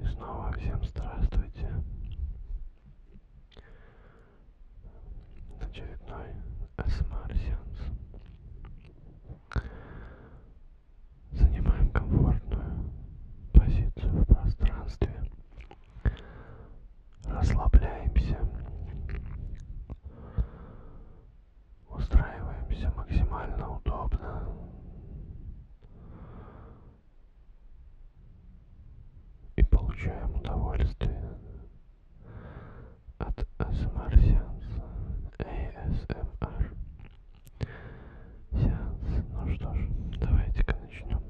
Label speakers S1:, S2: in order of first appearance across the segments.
S1: И снова всем здравствуйте. Очередной СМР сеанс. Занимаем комфортную позицию в пространстве расслабляемся, устраиваемся максимально удобно. И получаем удовольствие от ASMR сеанса. ASMR сеанс. Ну что ж, давайте-ка начнем.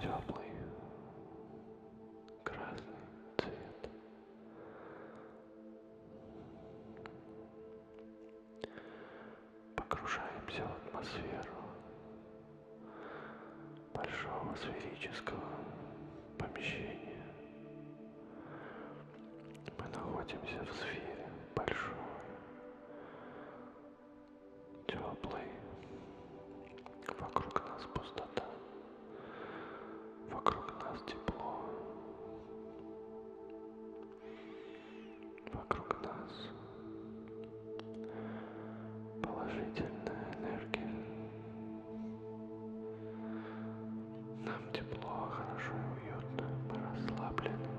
S1: Теплый красный цвет. Погружаемся в атмосферу большого сферического помещения. Мы находимся в сфере большой, теплой. Вокруг нас пустота. Вокруг нас тепло. Вокруг нас положительная энергия. Нам тепло, хорошо и уютно. Мы расслаблены.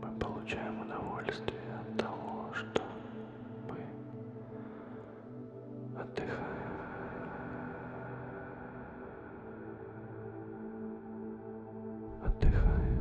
S1: Мы получаем удовольствие от того, что мы Отдыхаем. Отдыхаем.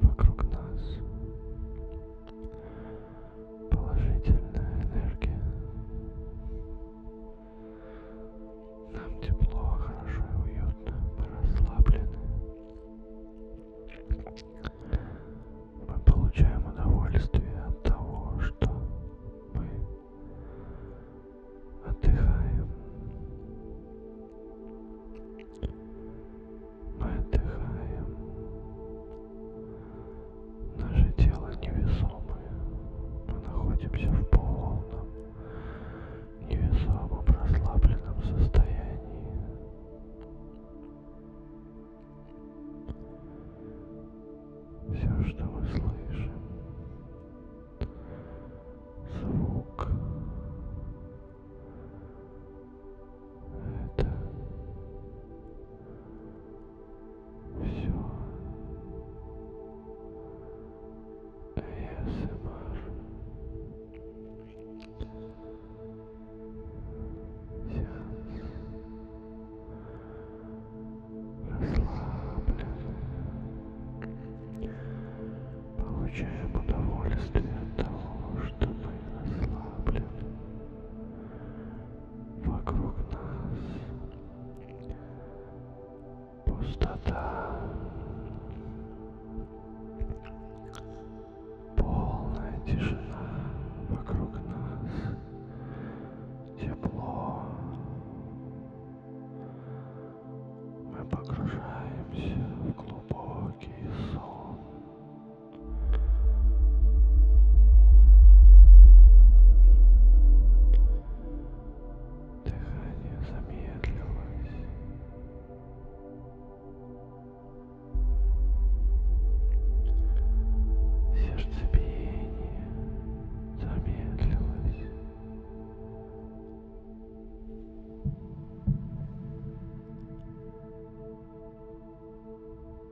S1: Вокруг нас положительная энергия. Нам тепло, хорошо и уютно. Мы расслаблены. Мы получаем удовольствие от того, что мы отдыхаем. Мы отдыхаем. Наше тело невесомое. Мы находимся в полном невесомом расслабленном состоянии. Все, что мы слышим, звук, это все. АСМР. Расслаблен. Получаем удовольствие от того, что мы расслаблены вокруг нас пустота, полная тишина вокруг нас, тепло. Мы погружаемся в глубокий сон. Дыхание замедлилось. Сердцебиение замедлилось. Дыхание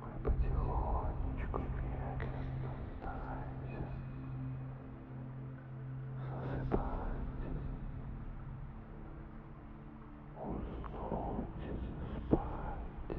S1: Мы потихонечку, медленно стараемся засыпать, уснуть, спать.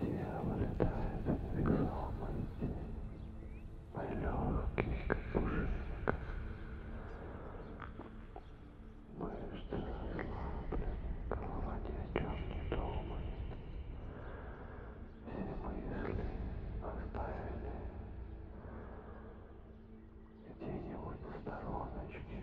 S1: Дьявол летает вверх ломанти, Мой легкий, как пушинка. Мышцы расслаблены, голова ни о чем не думает. Все мысли оставили где-нибудь на стороночке.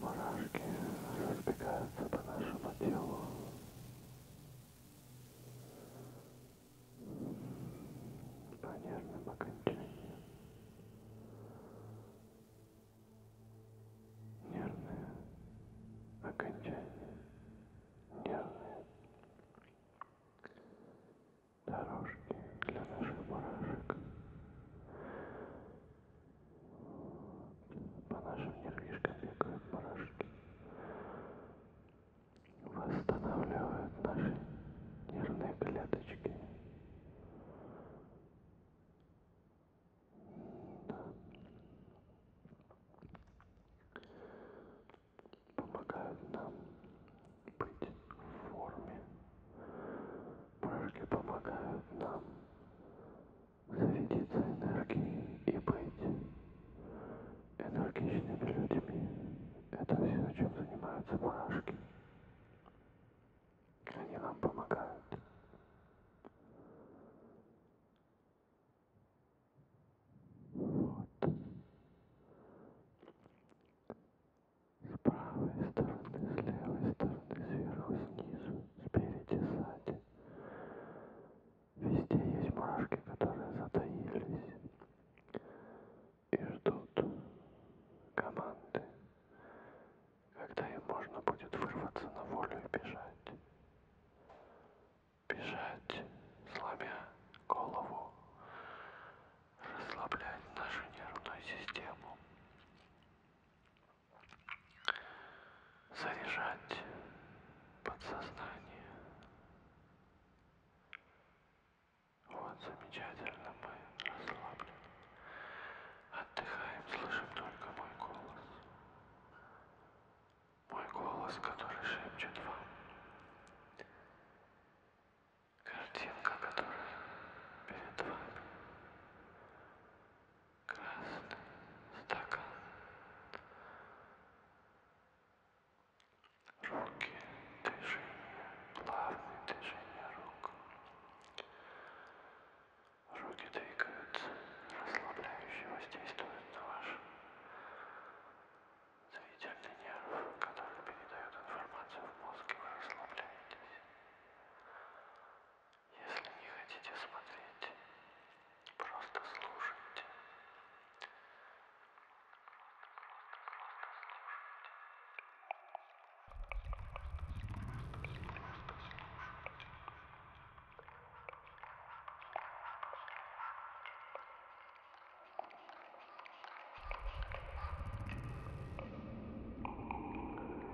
S1: Мурашки разбегаются по нашему телу. По нервным окончаниям. Нервные окончания. Нервные дорожки для наших мурашек. По нашим нервишкам бегают барашки. Восстанавливают наши нервные клеточки. Да. Помогают нам быть в форме. Барашки помогают нам зарядиться энергией и быть энергичными людьми. Это все, чем занимаются барашки. Они нам помогают. Вот. С правой стороны, с левой стороны, сверху, снизу, спереди, сзади. Везде есть мурашки, которые затаились и ждут команды, когда им можно будет вырваться на волю и бежать. Бежать, сломя голову, расслаблять нашу нервную систему заряжать подсознание. Вот, замечательно, мы расслаблены. Отдыхаем, слышим только мой голос. Мой голос, который шепчет вам. Картинка, которая перед вами красный стакан. Руки, движение, плавные движения рук. Руки двигаются, расслабляюще воздействуют на ваш зрительный нерв, который передает информацию в мозг, и вы расслабляетесь. Если не хотите смотреть, просто слушайте.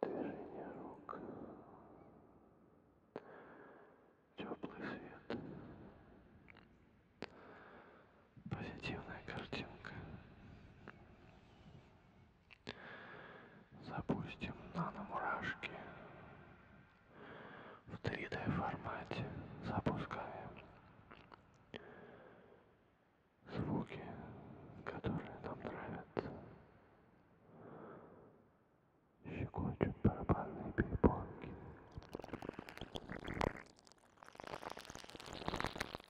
S1: Движение рук. Теплый свет позитивная картинка. Запустим наномурашки в 3D формате. Запускаем звуки, которые нам нравятся. Щекочут барабанные перепонки.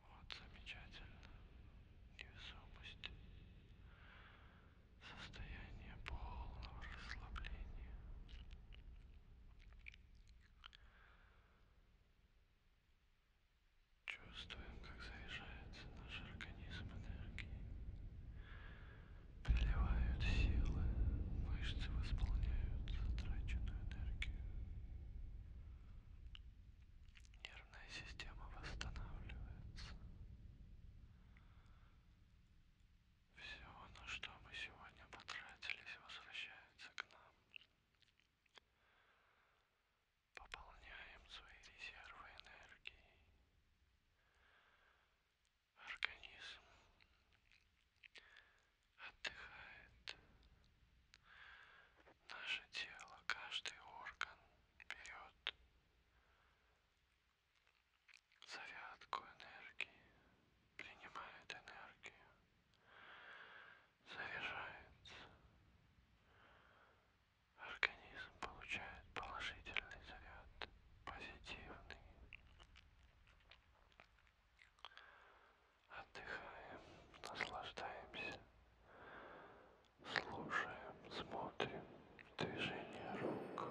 S1: Вот замечательно. Невесомость. Состояние полного расслабления. Чувствуем, как заряжается наш организм энергией приливают силы, мышцы восполняют затраченную энергию. Нервная система восстанавливается. Все, на что мы сегодня потратились, возвращается к нам. Пополняем свои резервы энергии организм отдыхает. Наше тело, каждый орган берет зарядку энергии, принимает энергию, заряжается. Организм получает положительный заряд позитивный. Отдыхаем, наслаждаемся, слушаем, смотрим движение рук.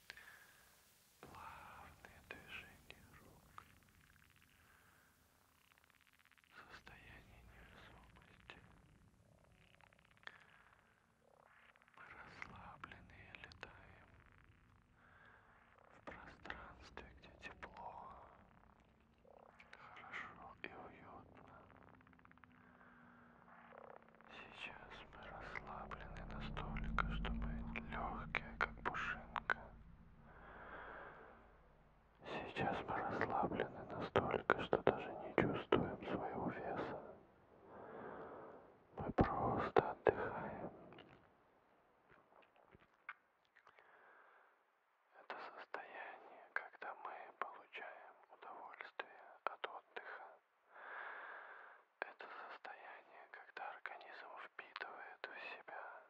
S1: плавные движения рук, состояние невесомости. Мы расслабленные летаем в пространстве, где тепло, хорошо и уютно. Сейчас мы расслаблены настолько, чтобы легкие, как пушинка. Сейчас мы расслаблены настолько, что даже не чувствуем своего веса. Мы просто отдыхаем. Это состояние, когда мы получаем удовольствие от отдыха. Это состояние, когда организм впитывает в себя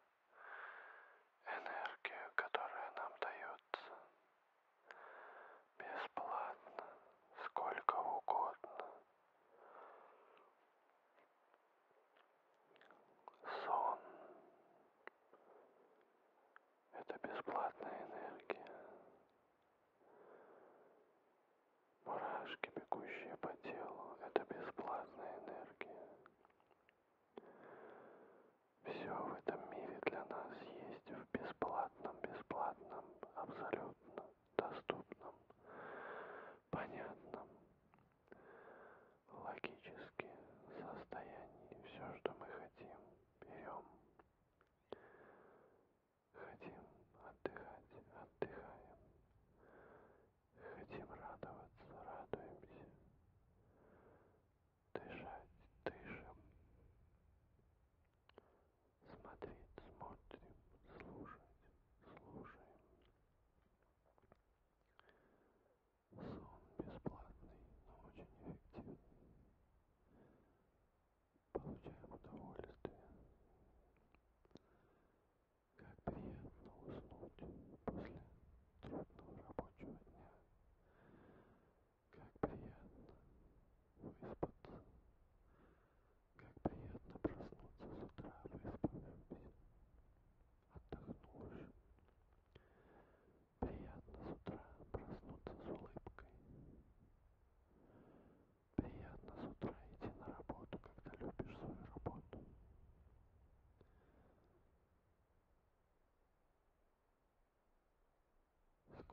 S1: энергию, которая нам дается бесплатно, сколько угодно. Сон — это бесплатная энергия. Мурашки, бегущие по телу, это бесплатная энергия. Все в этом мире для нас есть в бесплатном, бесплатном, абсолютно доступном, понятном, логически состоянии. Все, что мы хотим, берем. Хотим отдыхать, отдыхаем. Хотим радоваться, радуемся. Дышать, дышим. Смотреть, смотрим, слушать, слушаем. Сон бесплатный, но очень эффективный получаем удовольствие. Как приятно уснуть после трудного рабочего дня. Как приятно выспаться. Как приятно проснуться с утра, выспавшимся, отдохнувшим. Приятно с утра проснуться с улыбкой приятно с утра идти на работу когда любишь свою работу сколько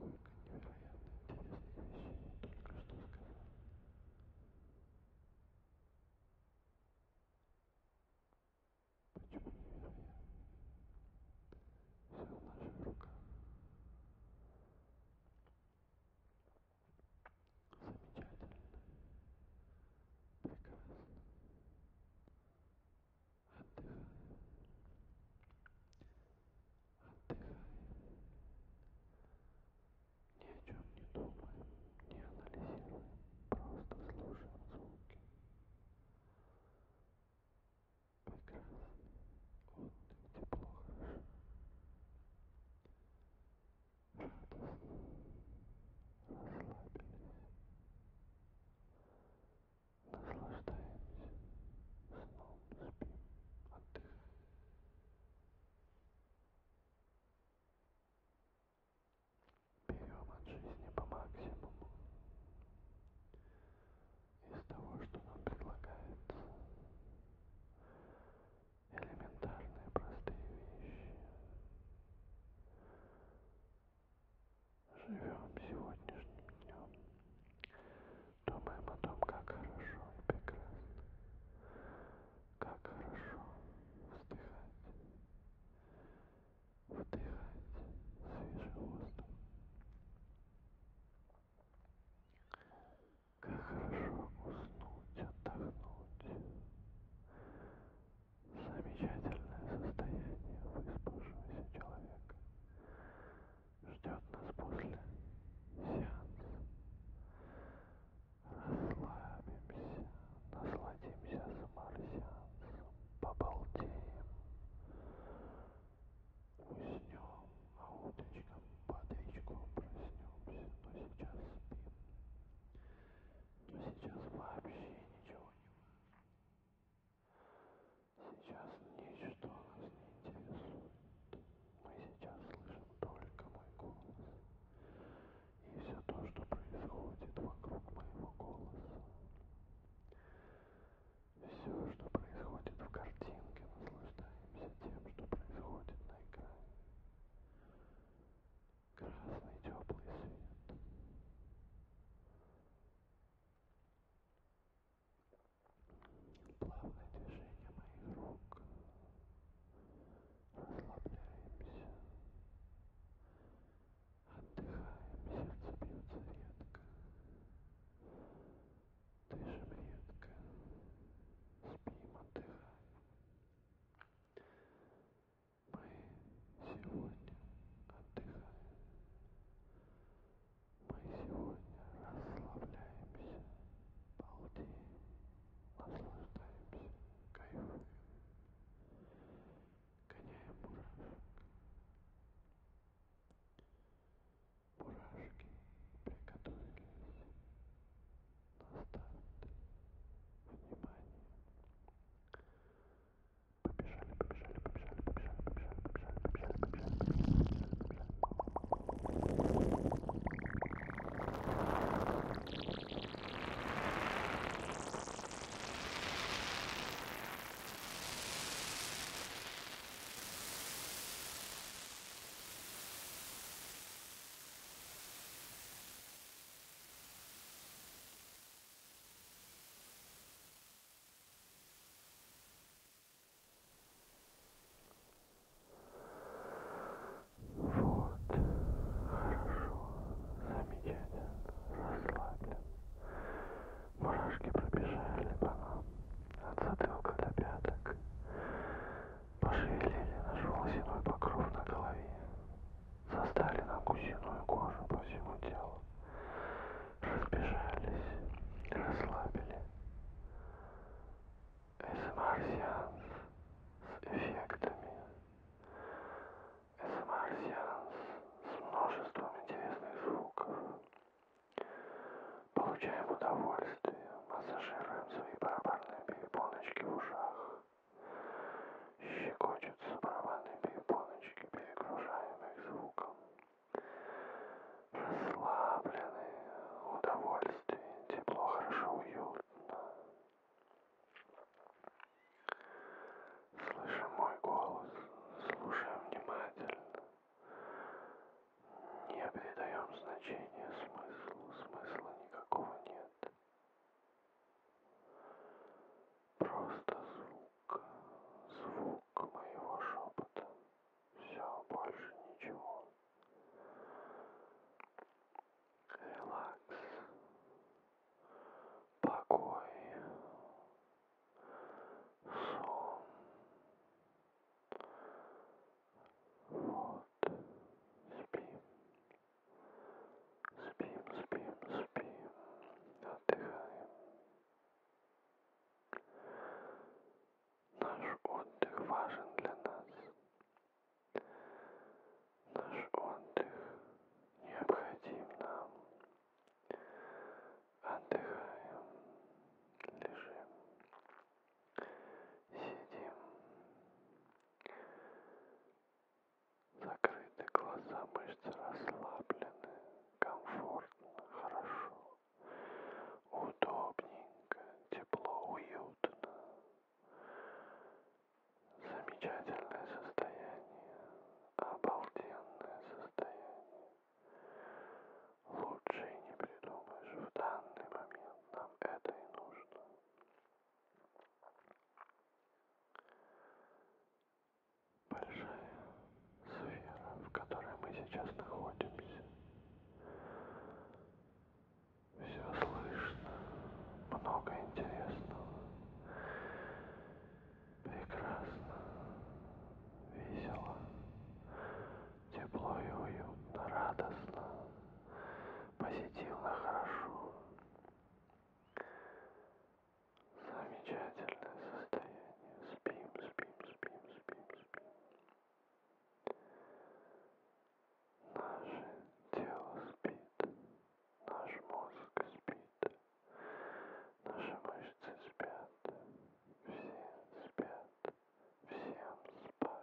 S1: невероятно интересных вещей я только что сказал почему невероятно все в наших руках Замечательно. Прекрасно. Отдыхаем. Отдыхаем. Ни о чем не думаем, не анализируем. Просто слушаем звуки прекрасно. Вот где плохо. Радостно. Расслабились. Наслаждаемся. Сном спим. Отдыхаем. Берем от жизни по максимуму из того, что нам предлагается. Элементарные простые вещи. Живем сегодняшним днем. Думаем о том, как хорошо и прекрасно. Как хорошо вздыхать. Вдыхать свежий воздух. Как хорошо уснуть, отдохнуть. Замечательное состояние выспавшегося человека ждет нас после сеанса. Расслабимся, насладимся саморсеансом, побалдеем, Уснем, а уточкам под речку проснемся, но сейчас спим. Но сейчас вообще ничего не важно. Сейчас ничто нас не интересует. Мы сейчас слышим только мой голос. И все то, что происходит вокруг моего голоса. Все, что происходит в картинке, наслаждаемся тем, что происходит на экране. Красный теплый свет. Плавное движение моих рук. Расслабляемся. Отдыхаем, сердце бьется редко дышим редко, спим, отдыхаем. Мы сегодня отдыхаем. Мы сегодня расслабляемся, балдеем, наслаждаемся, кайфуем, гоняем мурашек. Мурашки приготовились. Доставьте внимание. Побежали, побежали, побежали, побежали, побежали, побежали, побежали, побежали, побежали, побежали, побежали. Вот, хорошо, замечательно, расслаблен. Мурашки пробежали по нам от затылка до пяток. Пошевелили наш волосяной покров на голове. Застали нам гусиную кожу по всему телу. Разбежались, расслабили. СМР-сеанс эм с эффектами. СМР-сеанс эм с множеством интересных звуков. Получаем удовольствие, массажируем свои барабанные перепоночки в ушах. Щекочутся барабанные перепоночки, перегружаем их звуком. Расслабленные, удовольствие, тепло, хорошо, уютно. Слышим мой голос, слушаем внимательно. Не придаем значения смыслу, смысла никакого нет. Просто звук, звук моего шепота. Все, больше ничего. Релакс. Покой. Сон. Вот. Спим. Спим, спим, спим. Отдыхаем. Наш отдых важен для нас. Наш отдых необходим нам. Отдыхаем, лежим, сидим. Закрыты глаза, мышцы расслаблены, комфортно, хорошо, удобненько, тепло, уютно. Замечательное состояние, обалденное состояние. Лучше и не придумаешь, в данный момент нам это и нужно. Большая сфера, в которой мы сейчас находимся. Все слышно, много интересного, прекрасно, весело, тепло и уютно, радостно, позитивно, хорошо. Замечательное состояние. Спим, спим, спим, спим, спим. Наше тело спит, наш мозг спит, наши мышцы спят, все спят. Всем спать, спать, спать,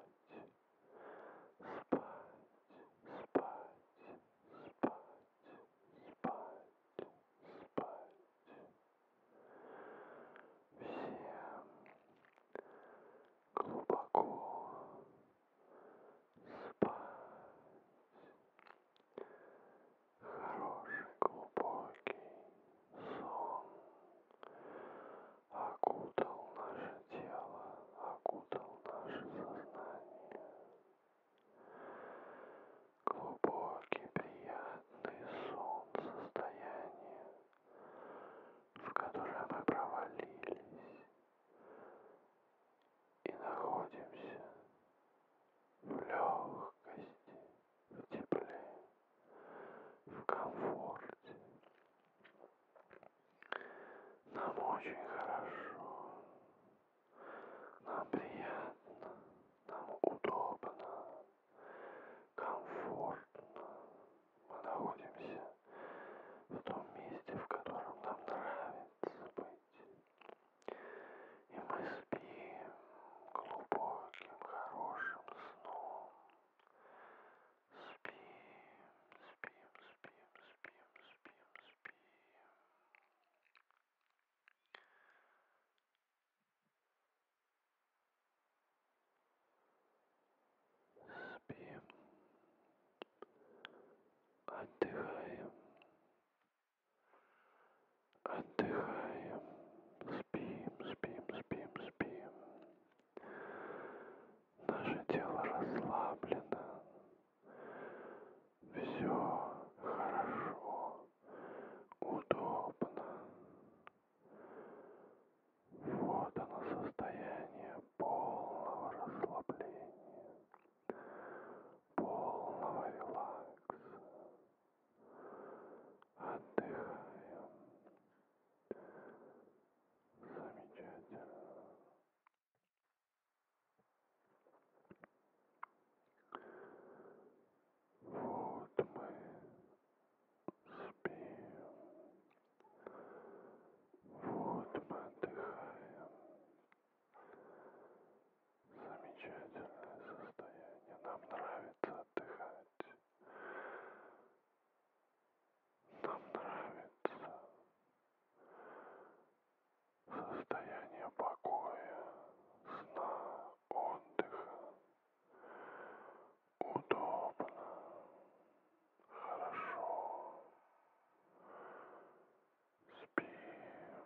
S1: спать, спать, спать. Всем глубоко спать. Хороший, глубокий Сон окутал наше тело, окутал наше сознание. Глубокий, приятный сон состояние, в которое мы провалились и находимся в легкости, в тепле, в комфорте. Нам очень хорошо, нам приятно, нам удобно, комфортно. Мы находимся в том месте, в котором нам нравится быть. И мы спим, глубоким хорошим сном. Спим, спим, спим, спим, спим, спим. Спим, отдыхаем, отдыхаем, спим, спим, спим, спим. Наше тело расслаблено. Все хорошо, удобно. Вот оно состояние полного расслабления, полного релакса. Отдыхаю. Замечательно. Вот мы спим. Вот мы отдыхаем. Замечательное состояние. Нам нравится отдыхать. Нам нравится состояние покоя, сна, отдыха. Удобно, хорошо. Спим.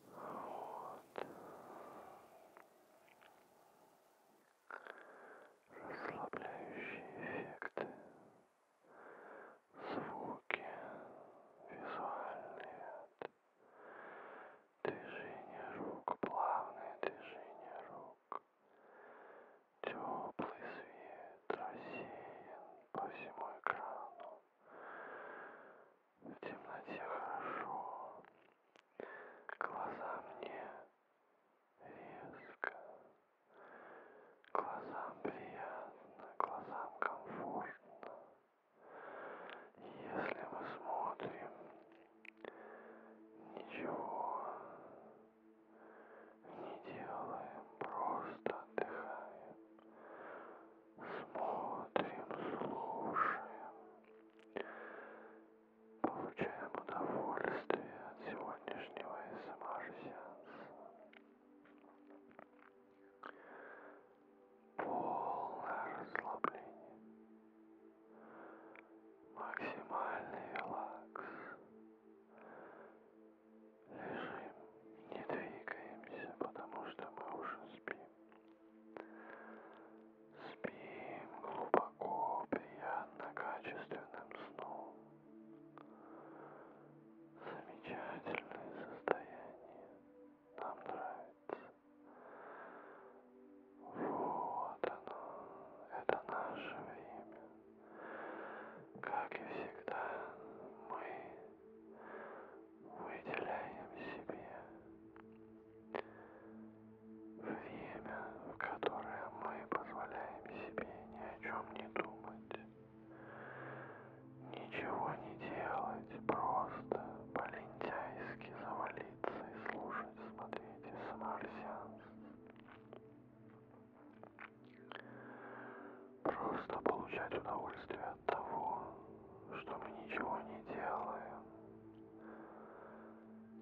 S1: Вот. Расслабляющие эффекты, звуки, визуальные от Движение рук, плавное движение рук. Теплый свет рассеян по всему экрану. В темноте хорошо. Глаза мне резко. Глазам приятно, глазам комфортно. Если мы смотрим Ничего не делаем, просто отдыхаем. Смотрим, слушаем. Получаем удовольствие от сегодняшнего СМР-сеанса. Эм Полное расслабление максимальный релакс. Лежим, не двигаемся, потому что мы уже спим. Спим глубоко, приятно, качественным сном. Замечательное состояние. Нам нравится. Вот оно, это наше время. Как и всегда, мы выделяем себе время, в которое мы позволяем себе ни о чем не думать, ничего не делать, просто по-лентяйски завалить молиться и слушать, смотрите самарсианс. Просто получать удовольствие от того, что мы ничего не делаем.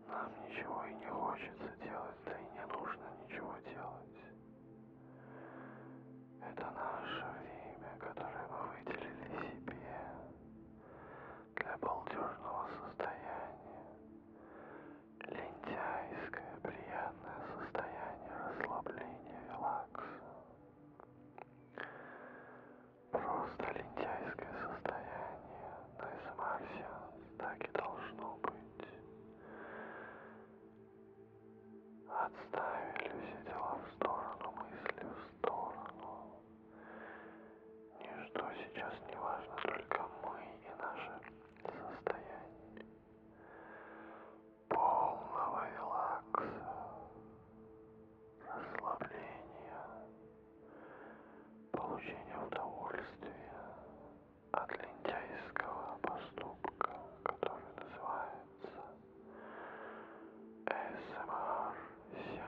S1: Нам ничего и не хочется делать, да и не нужно ничего делать. Это наше время, которое мы выделили себе для балдежного состояния. Лентяйское приятное состояние расслабления релакса. Просто лентяйское состояние на СМР так и должно быть. Отставили все дела в сторону, мысли в сторону. Ничто сейчас не важно, только мы и наше состояние полного релакса, расслабления, получения удовольствия от лентяйского поступка, который называется СМР-сеанс.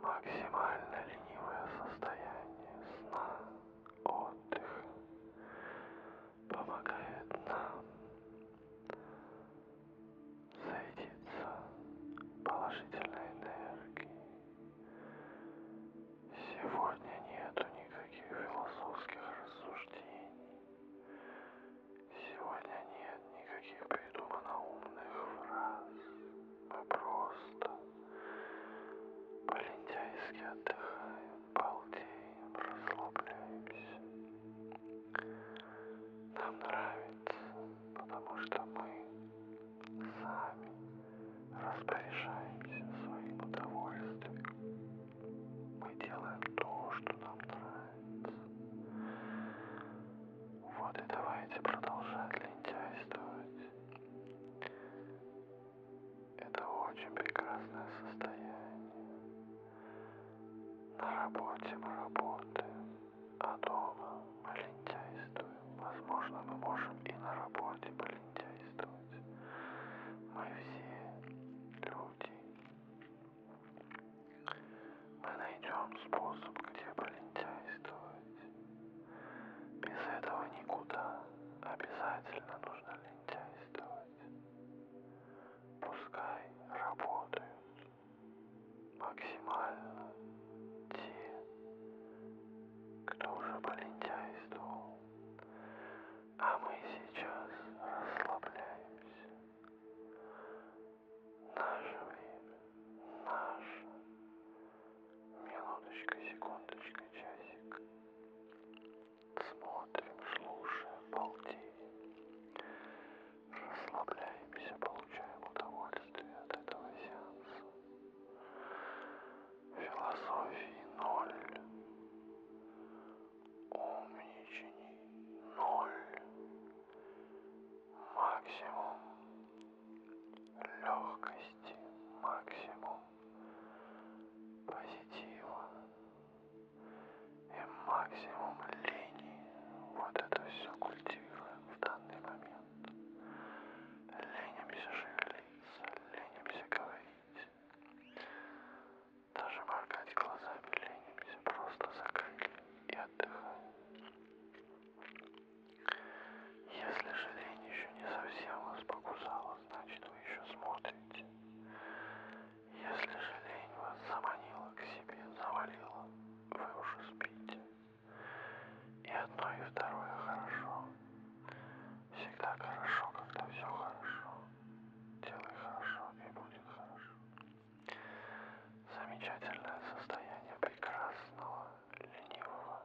S1: Максимально ленивое состояние сна, отдых помогает нам зарядиться положительной энергией. Сегодня нету никаких философских рассуждений. Сегодня нет никаких придумано умных фраз. Мы просто по-лентяйски отдыхаем, балдеем, расслабляемся. Нам нравится, потому что мы сами распоряжаемся своим удовольствием. Мы делаем то, что нам нравится. Вот и давайте продолжать лентяйствовать. Это очень прекрасное состояние. На работе мы работаем, а дома мы лентяйствуем. Возможно, мы можем и на работе полентяйствовать. Мы все люди. Мы найдем способ, где полентяйствовать. Без этого никуда. Обязательно нужно лентяйствовать. Пускай работают максимально те, кто уже полентяйствовал. А мы сейчас расслабляемся. Наше время, наше. Минуточка, секундочка, часик. Смотрим, слушаем, балдеем. Расслабляемся, получаем удовольствие от этого сеанса. Философии ноль умничаний ноль, максимум легкости, максимум позитива и максимум линии. Вот это все культивируем в данный момент. Ленимся шевелиться, ленимся говорить. Даже моргать глазами ленимся, просто закрыли и отдыхаем. Если же лень еще не совсем вас покусала, значит вы еще смотрите. Если же лень вас заманила к себе, завалила, вы уже спите. И одно, и второе хорошо. Всегда хорошо, когда все хорошо. Делай хорошо и будет хорошо. Замечательное состояние прекрасного, ленивого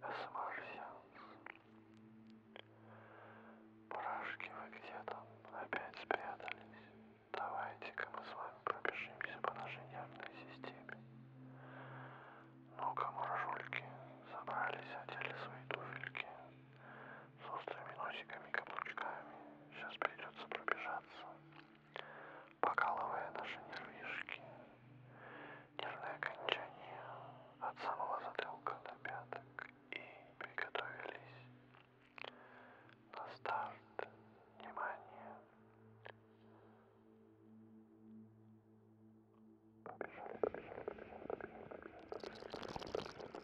S1: смарсианца. Мурашки вы где там? Опять спрятались? Давайте-ка мы с вами пробежимся по нашей нервной системе. Ну-ка, мурашульки, собрались, одели свои туфельки с острыми носиками и каблучками. Сейчас придется пробежаться, покалывая наши нервишки, нервные окончания от самого затылка до пяток. И приготовились на старт. Внимание. Побежали, побежали, побежали, побежали.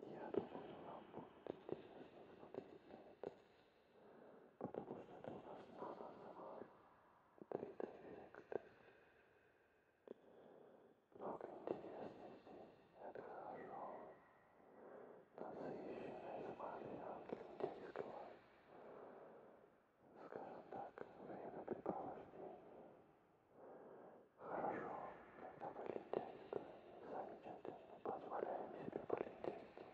S1: Я думаю, вам будет интересно смотреть на это, потому что это у нас нано-самар 3D-эффекты. Много интересности, это хорошо. Насыщенная смайлианка индийского, скажем так, времяпрепровождения хорошо когда политехника замечательно позволяем себе политехнику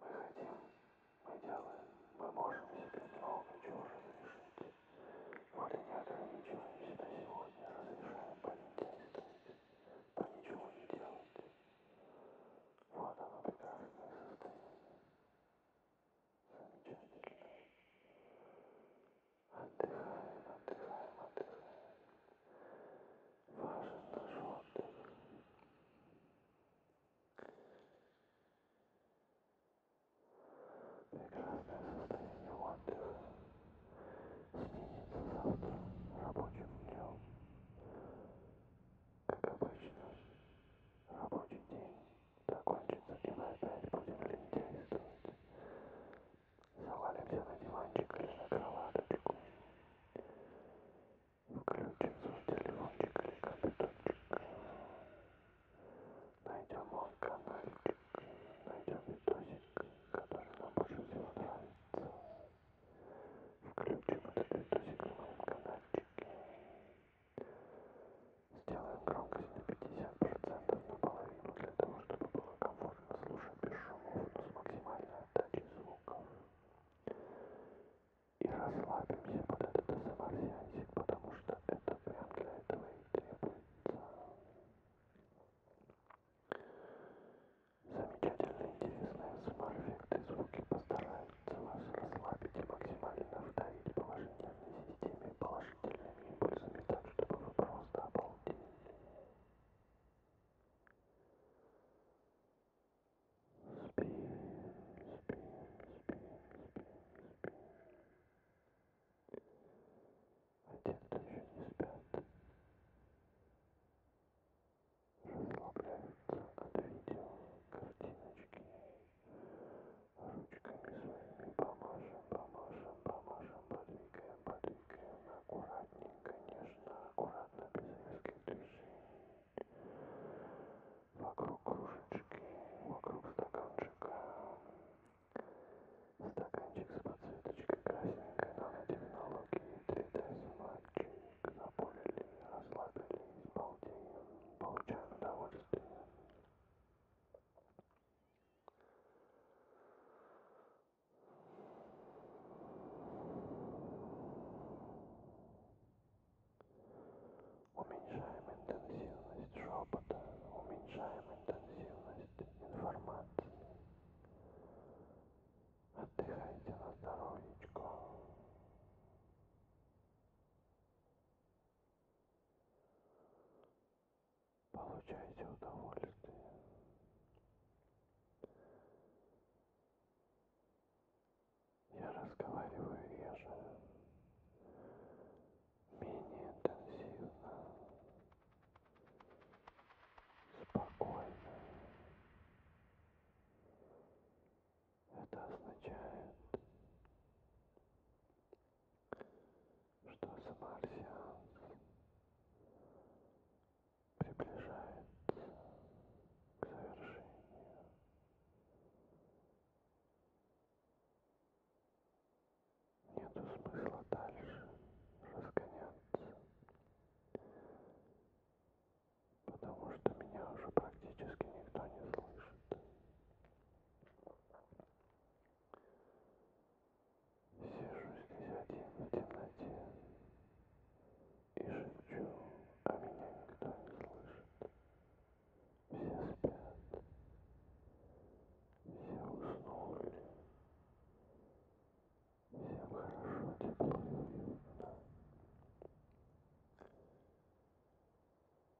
S1: мы хотим мы делаем мы можем себе много чего разрешить вот и не ограничиваем себя сегодня разрешаем политехники по ничего не делать вот оно прекрасное состояние Замечательно. Отдыхаем, отдыхаем, отдыхаем. Важен наш отдых. Прекрасное состояние отдыха сменится завтра рабочим днем. Как обычно, рабочий день. закончится и мы опять будем лентяйствовать. Завалимся на диванчик или на кроваточку. Включим свой телефончик или компьютерчик. Найдем он каналчик, найдем видосик, который нам больше всего нравится. Включим этот видосик на моем каналчике. Сделай громкость на 50% наполовину для того, чтобы было комфортно слушать без шумов, но с максимальной отдачей звуков. И расслабимся под этот ASMR-сеансик, потому что это прям для этого и требуется. Замечательно интересные ASMR-эффекты звуки постараются вас расслабить и максимально вдавить по вашей нервной системе и впечатление пользами так, чтобы вы просто обалдели. Спи, спи, спи, спи, спи. А те, кто еще не спят, расслабляются от видео картиночки. ручками своими поможем, поможем, поможем, подвигаем, подвигаем, аккуратненько, нежно, аккуратно, без резких движений. Вокруг кружечки, вокруг стаканчика. Стаканчик с подсветочкой красненькой, нанотехнологии, 3D-сматчик. Запулили, расслабились, балдеем, получаем удовольствие. Уменьшаем интенсивность шепота, уменьшаем интенсивность информации. Отдыхайте на здоровьечко получайте удовольствие. Я разговариваю реже, менее интенсивно, спокойно. Это означает, что за марсианс приближается к завершению. Нету смысла дальше разгоняться, потому что меня уже практически никто не слышит. Сижу здесь один в темноте и шепчу, а меня никто не слышит. Все спят, все уснули, всем хорошо, тепло и уютно.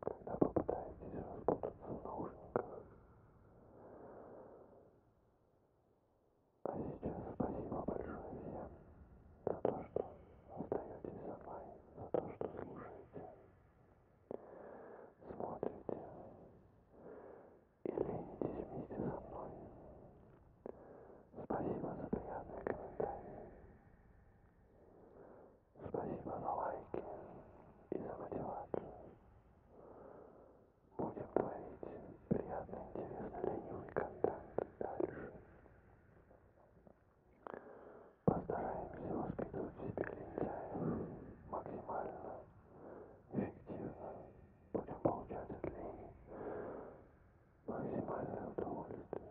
S1: когда вы пытаетесь распутаться в наушниках. А сейчас спасибо большое всем за то, что остаетесь со мной, за то, что слушаете, смотрите и ленитесь вместе со мной. Спасибо за приятные комментарии. Спасибо за лайки и за мотивацию. Будем творить приятный, интересный, ленивый контент дальше. Постараемся воспитывать в себе лентяев максимально эффективно. Будем получать от лени максимальное удовольствие.